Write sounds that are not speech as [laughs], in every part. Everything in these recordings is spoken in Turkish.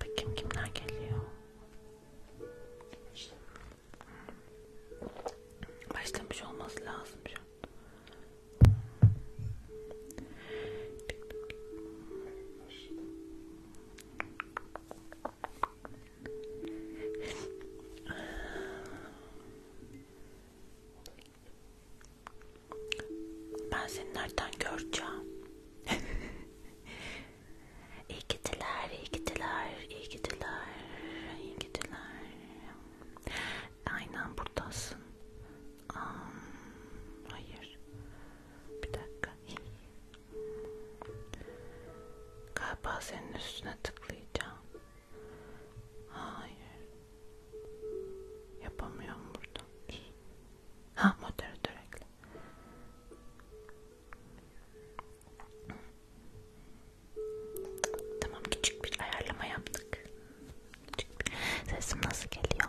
Bakayım kimler geliyor. Başlamış olması lazım şu an. Ben seni nereden göreceğim? [laughs] iyi gittiler, iyi gittiler, iyi gittiler, iyi gittiler. Aynen buradasın. Um, hayır. Bir dakika. Galiba senin üstüne tıklayacağım. Hayır. Yapamıyorum buradan. Ha moderatör ekle. Tamam küçük bir ayarlama yaptık. Küçük bir... Sesim nasıl geliyor?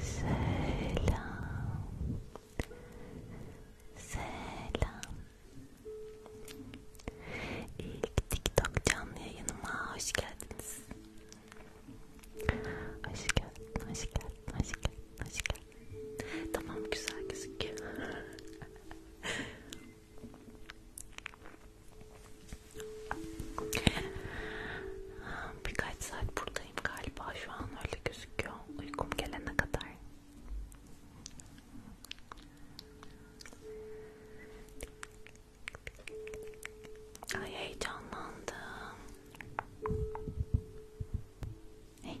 Selam. Selam. İlk TikTok canlı yayınıma hoş geldiniz. Hoş geldin, hoş geldin, hoş geldin, hoş geldin. Tamam güzel gözüküyor. [laughs] Birkaç saat burada uykudayım galiba şu an öyle gözüküyor uykum gelene kadar ay heyecanlandım hey.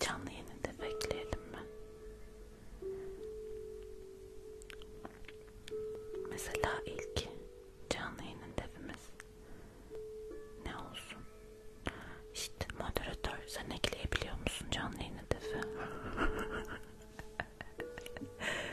Canlı yayını da bekleyelim mi? Mesela ilk canlı yayının defimiz ne olsun? İşte moderatör sen ekleyebiliyor musun canlı yayını defi? [laughs]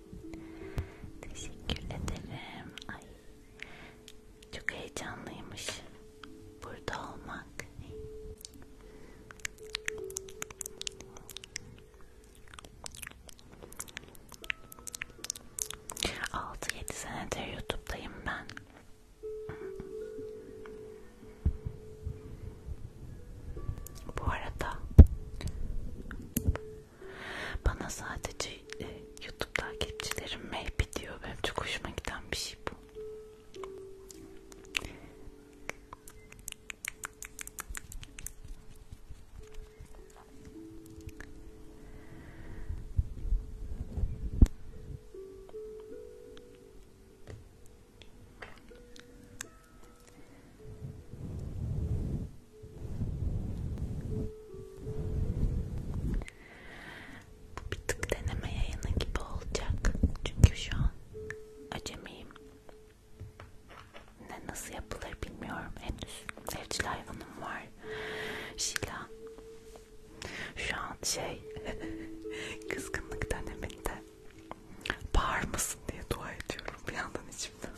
Teşekkür ederim. Ay, çok heyecanlıymış burada olmak. Altı yedi senedir YouTube'dayım ben. Bu arada bana sadece e, YouTube takipçilerim mehbi diyor. Benim çok hoşuma giden bir şey bu. Bu bir tık deneme yayını gibi olacak. Çünkü şu an acemiyim. Ne nasıl yapılır bilmiyorum. Henüz evcil hayvanım var. Şila. Şu an şey [laughs] kızgınlık deneminde bağır mısın diye dua ediyorum. Bir yandan hiç saçımdan.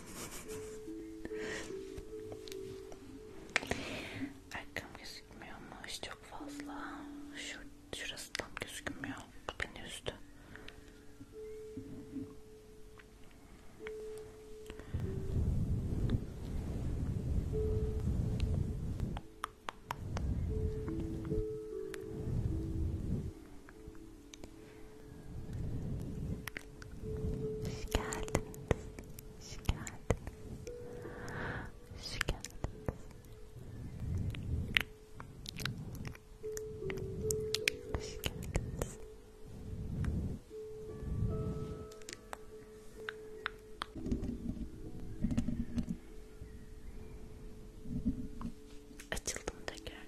Arkam gözükmüyormuş çok fazla. Şu, şurası tam gözükmüyor. Bu beni üzdü. Hoş geldiniz. Hoş geldiniz. Hoş geldiniz. Hoş geldiniz. Açıldım tekrar.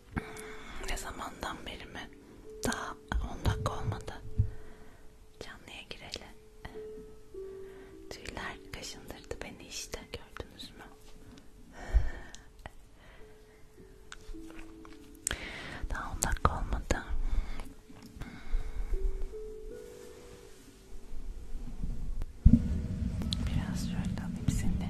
Ne zamandan beri mi? Daha 10 dakika olmadı. Canlıya girelim. Tüyler kaşındırdı beni işte gördünüz mü? Daha 10 dakika olmadı. Biraz şöyle alayım seni.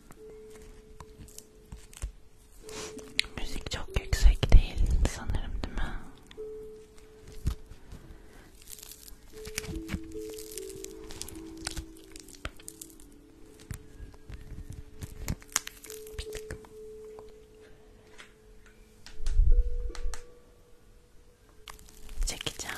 Müzik çok yüksek değil sanırım değil mi? Çekeceğim.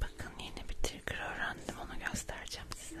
Bakın yeni bir trigger öğrendim onu göstereceğim size.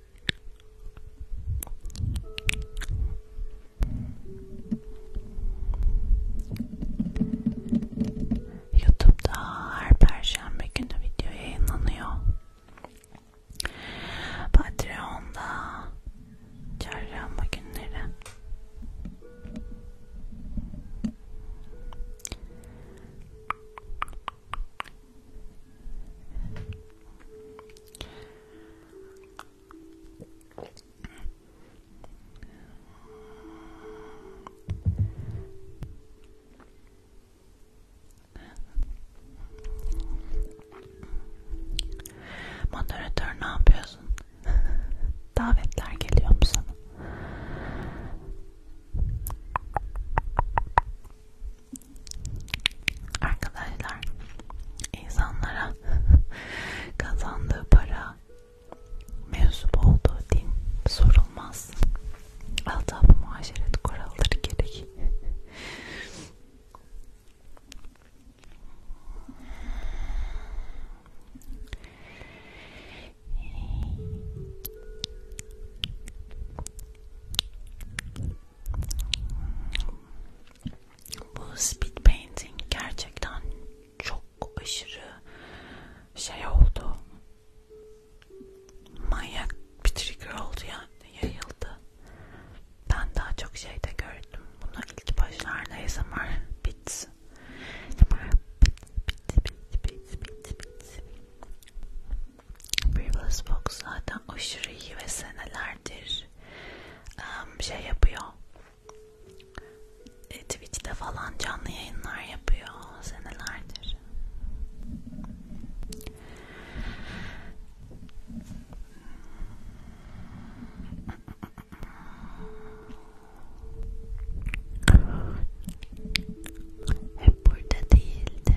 YouTube'da her perşembe günü video yayınlanıyor. Patreon'da çarşamba günleri. Moderatör ne yapıyorsun? [laughs] Davetler geliyor mu sana? Arkadaşlar insanlara [laughs] kazandığı para mensup olduğu din sorulmaz. Altab-ı muaşeret kuralları gerek. Bu speed painting gerçekten çok aşırı şey oldu. Manyak bir trigger oldu yani yayıldı. Ben daha çok şey de gördüm. Bunu ilk başlarda ASMR bits. Bits, bits, bits, bits, bits, bits. Birbal's Box zaten aşırı iyi ve senelerdir um, şey yapıyor. E, Twitch'te falan canlı yayınlar yapıyor senelerdir. Hep burada değildim.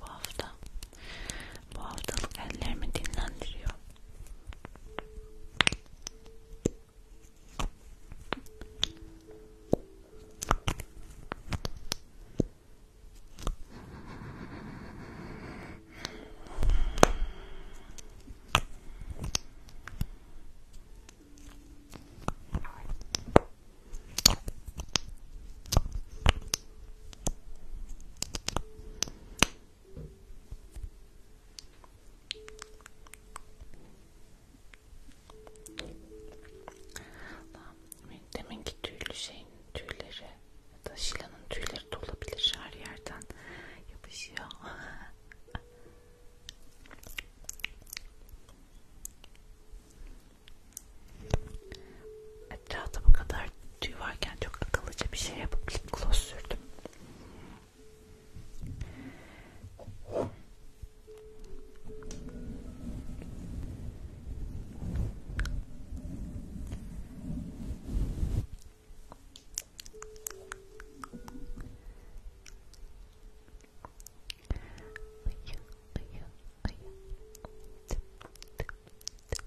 bu hafta. Bu haftalık ellerimi dinlendiriyor. Demek ki tüylü şeyin tüyleri ya da şilanın tüyleri de olabilir her yerden yapışıyor. [laughs] Etrafta bu kadar tüy varken çok akıllıca bir şey yapıp lip gloss sürdüm. Ayı, ayı, ayı. Tıp, tıp, tıp, tıp,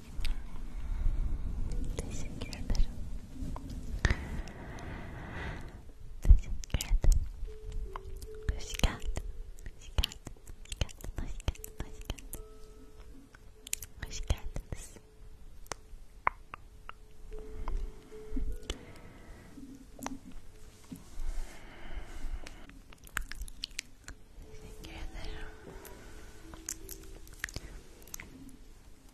Teşekkür ederim. Teşekkür ederim. Hoş geldin. Hoş geldin. Hoş geldin. Hoş geldin. Hoş geldin. Hoş geldiniz. Teşekkür ederim.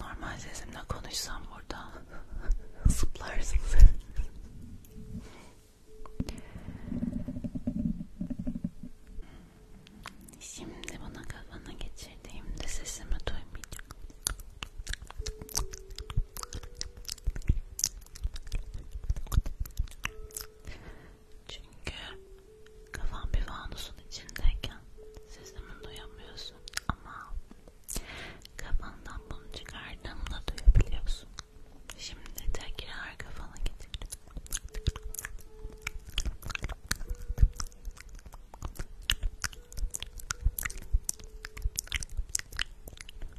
Normal sesimle konuşsam burada [laughs] zıplarsınız. Şimdi bana kafana geçirdiğimde sesimi duymayacak. Çünkü kafam bir fanusun içindeyken sesimi duyamıyorsun ama kafandan bunu çıkardığımda duyabiliyorsun. Şimdi tekrar kafana getir.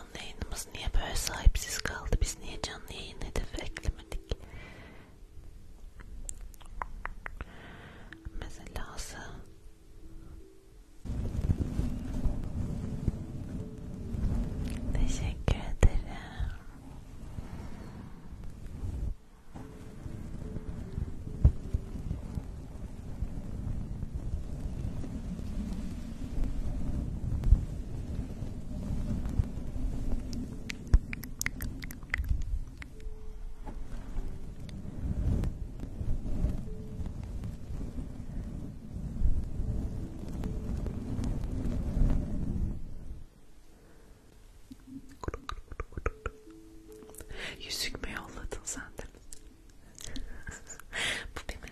canlı yayınımız niye böyle sahipsiz kaldı? Biz niye canlı yayın hedefi eklemedik? Mesela Teşekkür ederim. Yüzük mü yolladın sandın? [laughs] Bu benim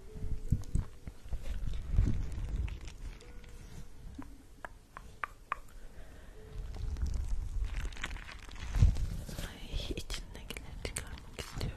Ay, içindekileri çıkarmak istiyorum.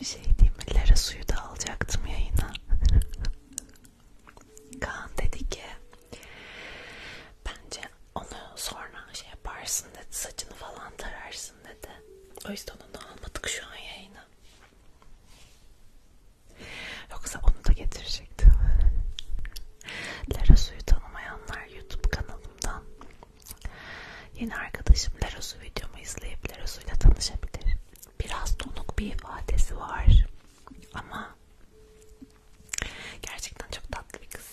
Bir şey diyeyim mi? Lara suyu da alacaktım yayına. Kaan dedi ki bence onu sonra şey yaparsın dedi. Saçını falan tararsın dedi. O yüzden onu almadık şu an yayına. Yoksa onu da getirecektim. Lara suyu tanımayanlar YouTube kanalımdan Yeni arkadaşım Leros'u videomu izleyip Leros'uyla tanışabilir. Biraz donuk bir ifadesi var ama gerçekten çok tatlı bir kız.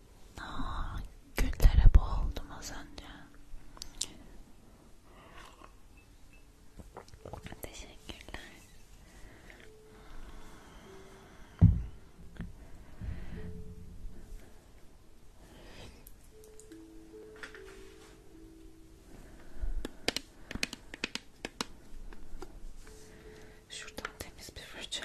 Aa, ah, güllere boğuldum az önce. Teşekkürler. Şuradan temiz bir fırça.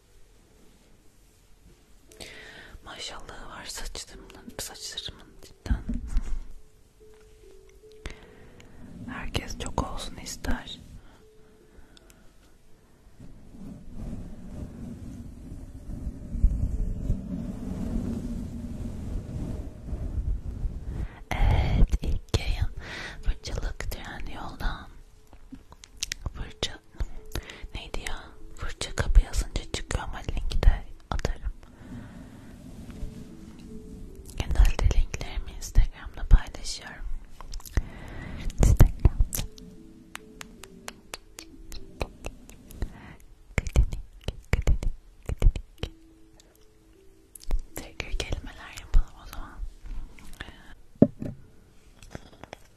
Maşallah var saçlarımın, saçlarımın cidden. Herkes çok olsun ister. Evet ilk yayın fırçalık tren yoldan Fırça neydi ya? Fırça kapı yazınca çıkıyor ama linki de atarım. Genelde linklerimi Instagram'da paylaşıyorum. Instagram'da. Kıdinik, kıdinik, kıdinik. Tekrar kelimeler yapalım o zaman.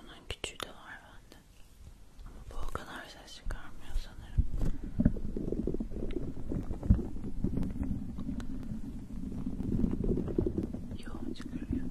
Bunun küçüğü de var bende. Ama bu o kadar ses çıkarmıyor sanırım. Yok çıkarıyor.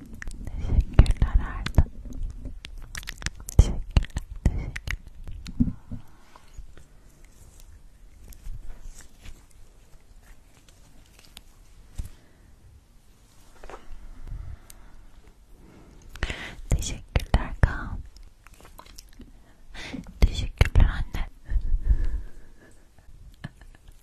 Teşekkürler Erdem. Teşekkürler, teşekkürler. Teşekkürler Kaan. Teşekkürler anne.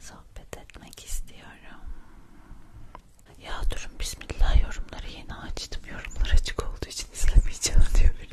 sohbet etmek istiyorum. Ya durun bismillah yorumları yeni açtım. Yorumlar açık olduğu için izlemeyeceğim [laughs] diyor biri.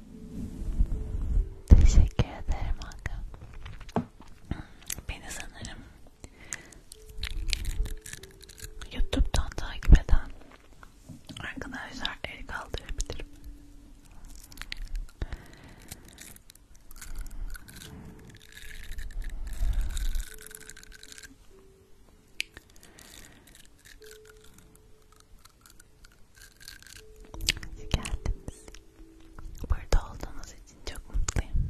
Teşekkür ederim Hakan. Beni sanırım YouTube'dan takip eden arkadaşlar el kaldırabilirim. Hoş geldiniz. Burada olduğunuz için çok mutluyum.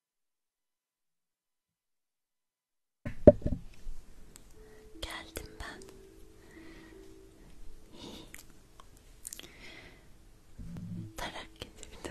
Geldim ben. Tarak getirdi.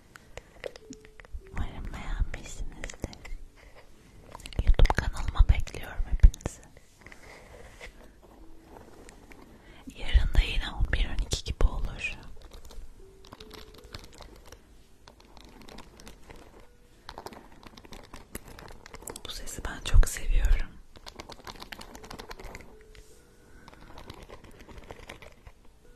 Umarım beğenmişsinizdir. Youtube kanalıma bekliyorum hepinizi. Yarın da yine 11-12 gibi olur. Bu sesi ben çok seviyorum.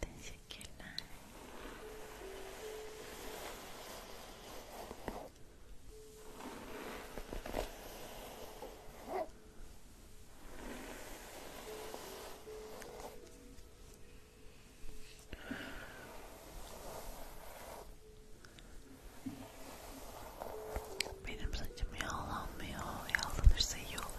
Teşekkürler. Benim saçım yağlanmıyor. Yağlanırsa iyi olur.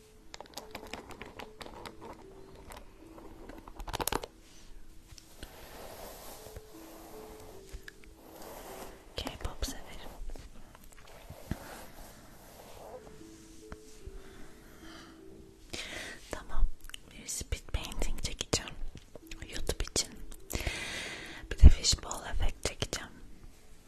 K-pop severim. Tamam, bir speed painting çekeceğim YouTube için. Bir de fishbowl efekt çekeceğim.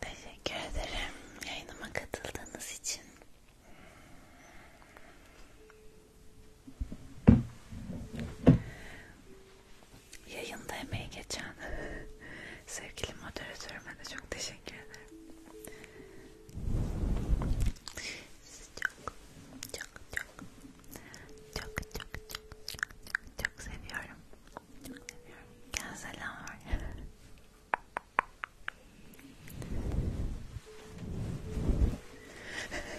Teşekkür ederim yayınıma katıldığınız için yayında emeği geçen [laughs] sevgili moderatörüme de çok teşekkür ederim. Sizi çok çok çok çok çok çok çok çok seviyorum. Çok seviyorum. Gel selam var. [laughs]